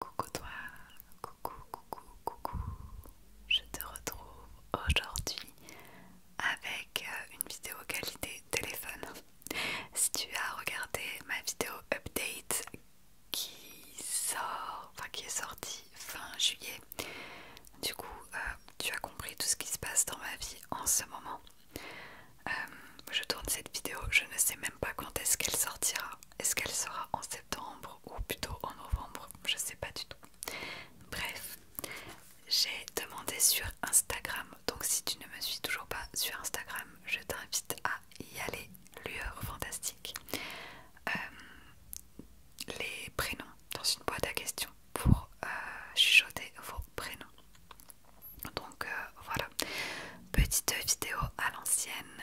Coucou toi, coucou, coucou, coucou. Je te retrouve aujourd'hui avec euh, une vidéo qualité téléphone. Si tu as regardé ma vidéo update qui sort, enfin qui est sortie fin juillet, du coup euh, tu as compris tout ce qui se passe dans ma vie en ce moment. Euh, je tourne cette vidéo, je ne sais même pas quand est-ce qu'elle sortira. Est-ce qu'elle sera en septembre ou plutôt en novembre Je ne sais pas du tout. Bref, j'ai demandé sur Instagram. Donc si tu ne me suis toujours pas sur Instagram, je t'invite à y aller. Lueur fantastique. Euh, les prénoms dans une boîte à questions pour euh, chuchoter vos prénoms. Donc euh, voilà, petite vidéo à l'ancienne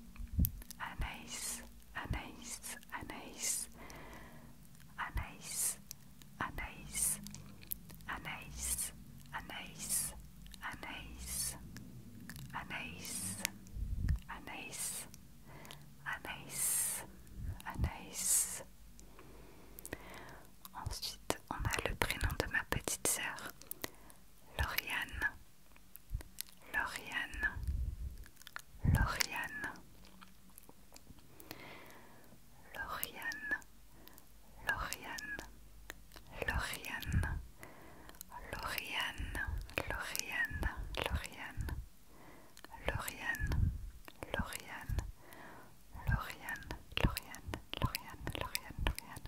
Anaïs, Anaïs, Anaïs, Anaïs, Anaïs, Anaïs, Anaïs, Anaïs, Anaïs, Anaïs, Anaïs, Anaïs. Ensuite, on a le prénom de ma petite sœur, Lauriane. Lauriane, Lauriane, Lauriane, Lauriane, Lauriane, Lauriane, Lauriane, Lauriane, Lauriane, Lauriane, Lauriane, Lauriane, Lauriane,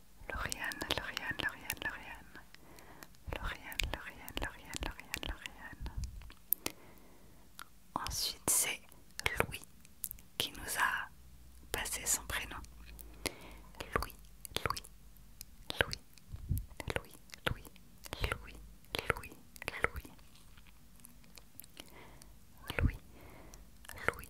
Lauriane, Lauriane, Lauriane, Lauriane. Lauriane, Lauriane, Lauriane, Lauriane, Ensuite, c'est Louis qui nous a passé son prénom. Louis, Louis, Louis, Louis, Louis, Louis, Louis. Louis, Louis,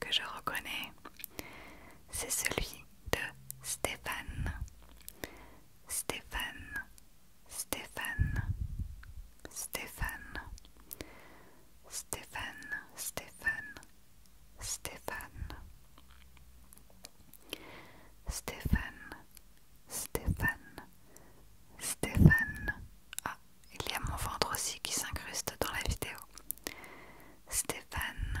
que je reconnais, c'est celui de Stéphane. Stéphane, Stéphane, Stéphane, Stéphane, Stéphane, Stéphane, Stéphane, Stéphane, Stéphane. Ah, il y a mon ventre aussi qui s'incruste dans la vidéo. Stéphane,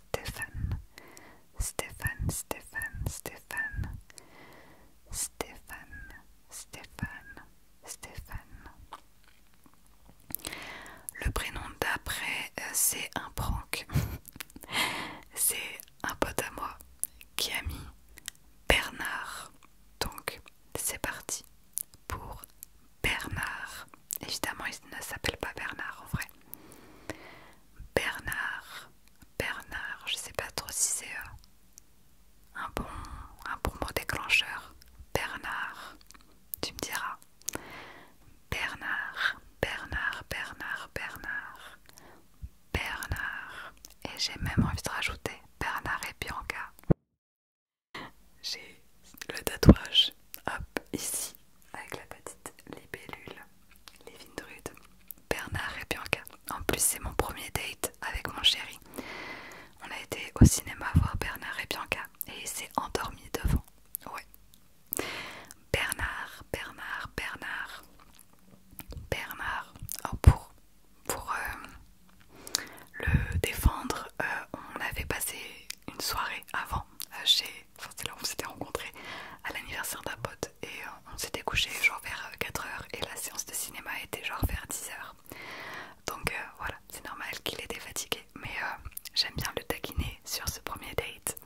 Stéphane, Stéphane, Stéphane, Stéphane, Stéphane, Stéphane, Stéphane. Le prénom d'après, euh, c'est un prank. c'est un pote à moi qui a mis Bernard. Donc, c'est parti pour Bernard. Évidemment, il ne s'appelle pas Bernard en vrai. Bernard, Bernard, je sais pas trop si c'est euh, un, bon, un bon mot déclencheur. Bernard, tu me diras. Bernard, Bernard, Bernard, Bernard, Bernard. Et j'ai même envie de rajouter Bernard et Bianca. J'ai le tatouage, hop, ici, avec la petite libellule, les Vindrudes, Bernard et Bianca. En plus, c'est mon premier date avec mon chéri. On a été au cinéma voir Bernard et Bianca et il s'est endormi devant. Ouais. Bernard, Bernard, Bernard. Bernard, oh, pour, pour euh, le défendre, euh, on avait passé une soirée avant euh, chez. Enfin, c'est là où on s'était rencontrés à l'anniversaire d'un pote et euh, on s'était couché genre vers 4h et la séance de cinéma était genre vers 10h. Donc voilà, c'est normal qu'il était fatigué, mais j'aime bien le taquiner sur ce premier date.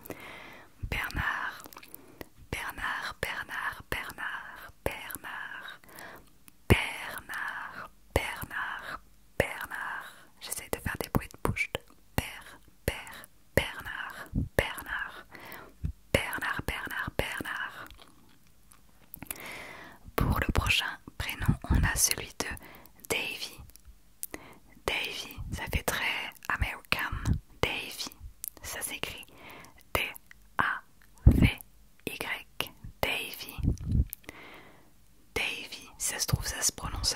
Bernard, Bernard, Bernard, Bernard, Bernard, Bernard, Bernard, Bernard. j'essaie de faire des bruits de bouche. Père, père, Bernard, Bernard, Bernard, Bernard, Bernard. Pour le prochain prénom, on a celui de Davy. Davy, ça fait très American. Davy, ça s'écrit D-A-V-Y. Davy. Davy, ça se trouve, ça se prononce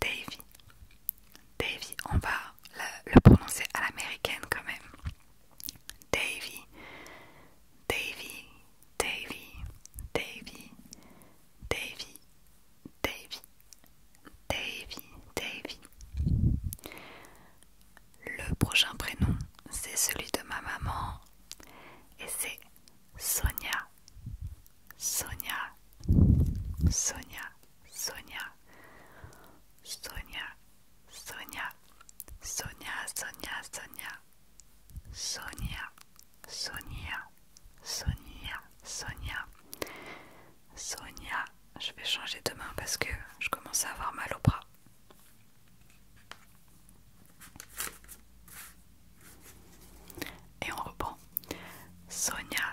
Davy. Davy, on va le, prononcer à l'américaine quand même. Davy, Davy, Davy, Davy, Davy, Davy, Davy, Davy. Le prochain prénom, c'est celui de ma maman et c'est Sonia. Sonia, Sonia, Sonia, Sonia, Sonia, Sonia, Sonia, Sonia, Sonia, Sonia, Sonia, Sonia, Sonia. Je vais changer demain parce que je commence à avoir mal au bras. Et on reprend. Sonia,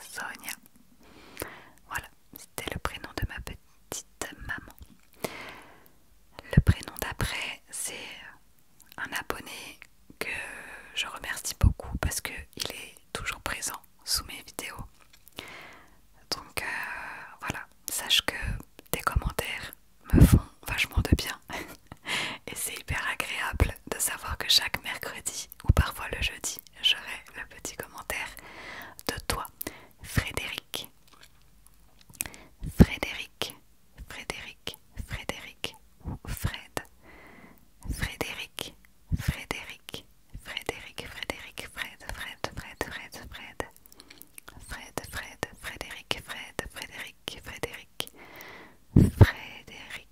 Sonia. Voilà, c'était le prénom de ma petite maman. Le prénom d'après, c'est un abonné que je remercie beaucoup parce qu'il est toujours présent sous mes vidéos. Donc euh, voilà, sache que tes commentaires me font vachement de bien. Et c'est hyper agréable de savoir que chaque mercredi ou parfois le jeudi, j'aurai le petit commentaire de toi, Frédéric. Frédéric, Frédéric, Frédéric ou Fred. Frédéric, Frédéric, Frédéric, Frédéric, Fred, Fred, Fred, Fred, Fred. Fred, Fred, Frédéric, Fred, Frédéric, Frédéric. Frédéric.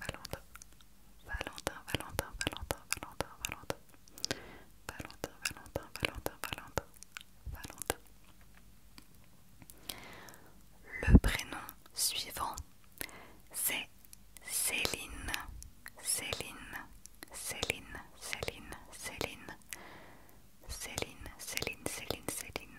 Valentin, Valentin, Valentin, Valentin, Valentin, Valentin, Valentin, Valentin, Valentin, Valentin, Valentin. Le prénom suivant, c'est Céline, Céline, Céline, Céline, Céline, Céline, Céline, Céline, Céline,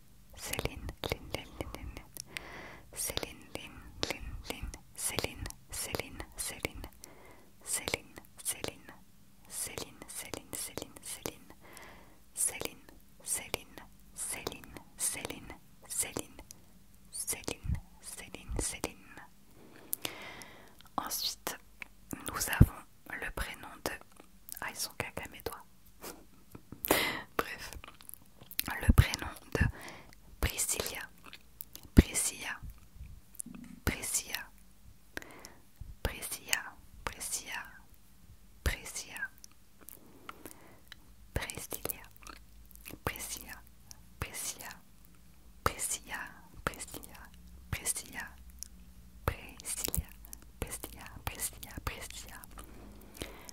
Céline, Céline, Céline, Céline, Céline, Céline, Céline, Céline, Céline, Céline, Céline, Céline, Céline, Céline, Céline, Céline, Céline, Céline, Céline. Ensuite, nous avons le prénom de. Bref, le prénom de Priscilla, Priscilla, Priscilla, Priscilla, Priscilla, Priscilla, Priscilla, Priscilla, Priscilla, Priscilla, Priscilla, Priscilla, Priscilla, Priscilla, Priscilla, Priscilla,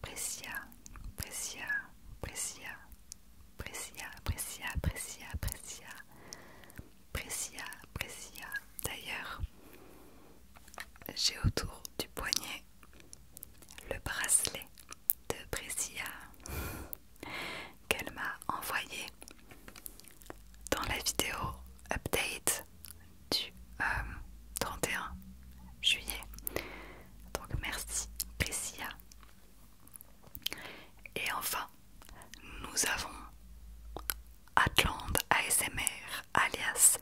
Precia, Pressia, Pressia, Pressia, Precia, Pressia, Pressia, D'ailleurs, j'ai autour du poignet le bracelet de Precia qu'elle m'a envoyé dans la vidéo update du 31 euh, juillet. Donc merci Priscia. Et enfin, nous avons Atlante ASMR alias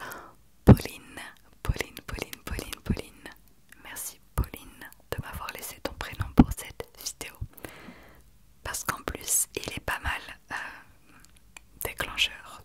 Pauline. Pauline, Pauline, Pauline, Pauline. Merci Pauline de m'avoir laissé ton prénom pour cette vidéo. Parce qu'en plus, il est pas mal euh, déclencheur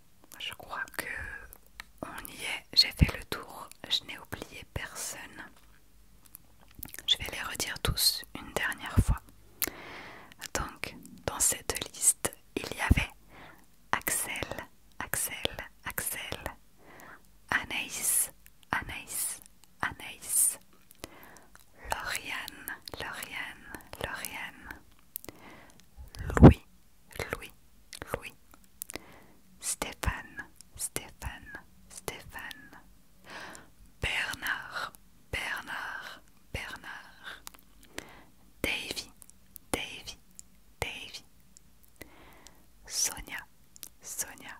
je crois que on y est. J'ai fait le tour, je n'ai oublié personne. Je vais les redire tous une dernière fois. Donc, dans cette liste, il y avait Axel, Axel, Axel, Anaïs, Anaïs, Anaïs, Lauriane, Lauriane, Lauriane, Louis, Louis, Louis, Stéphane, Stéphane, Stéphane, Bernard, Bernard, Bernard, Davy, Davy, Davy, Sonia, Sonia,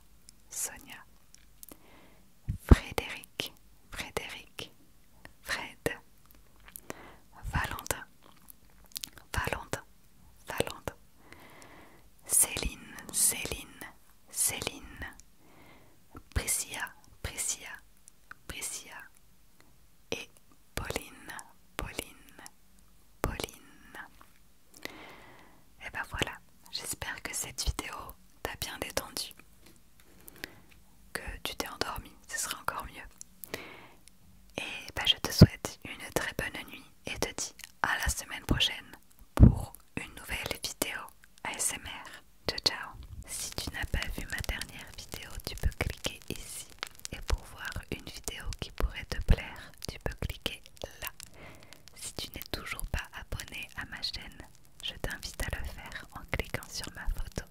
Sonia, Frédéric, Frédéric, Fred, Valentin, Valente, Valente, Céline, Céline, Céline, Priscia, Priscilla, Priscilla et Pauline, Pauline, Pauline. Et eh ben voilà, j'espère que cette vidéo t'a bien détendu, que tu t'es endormi, ce sera encore mieux. Et ben je te souhaite une très bonne nuit et te dis à la semaine prochaine pour une nouvelle vidéo ASMR. Ciao ciao Si tu n'as pas vu ma dernière vidéo, tu peux cliquer ici. Et pour voir une vidéo qui pourrait te plaire, tu peux cliquer là. Si tu n'es toujours pas abonné à ma chaîne, je t'invite à le faire en cliquant sur ma photo.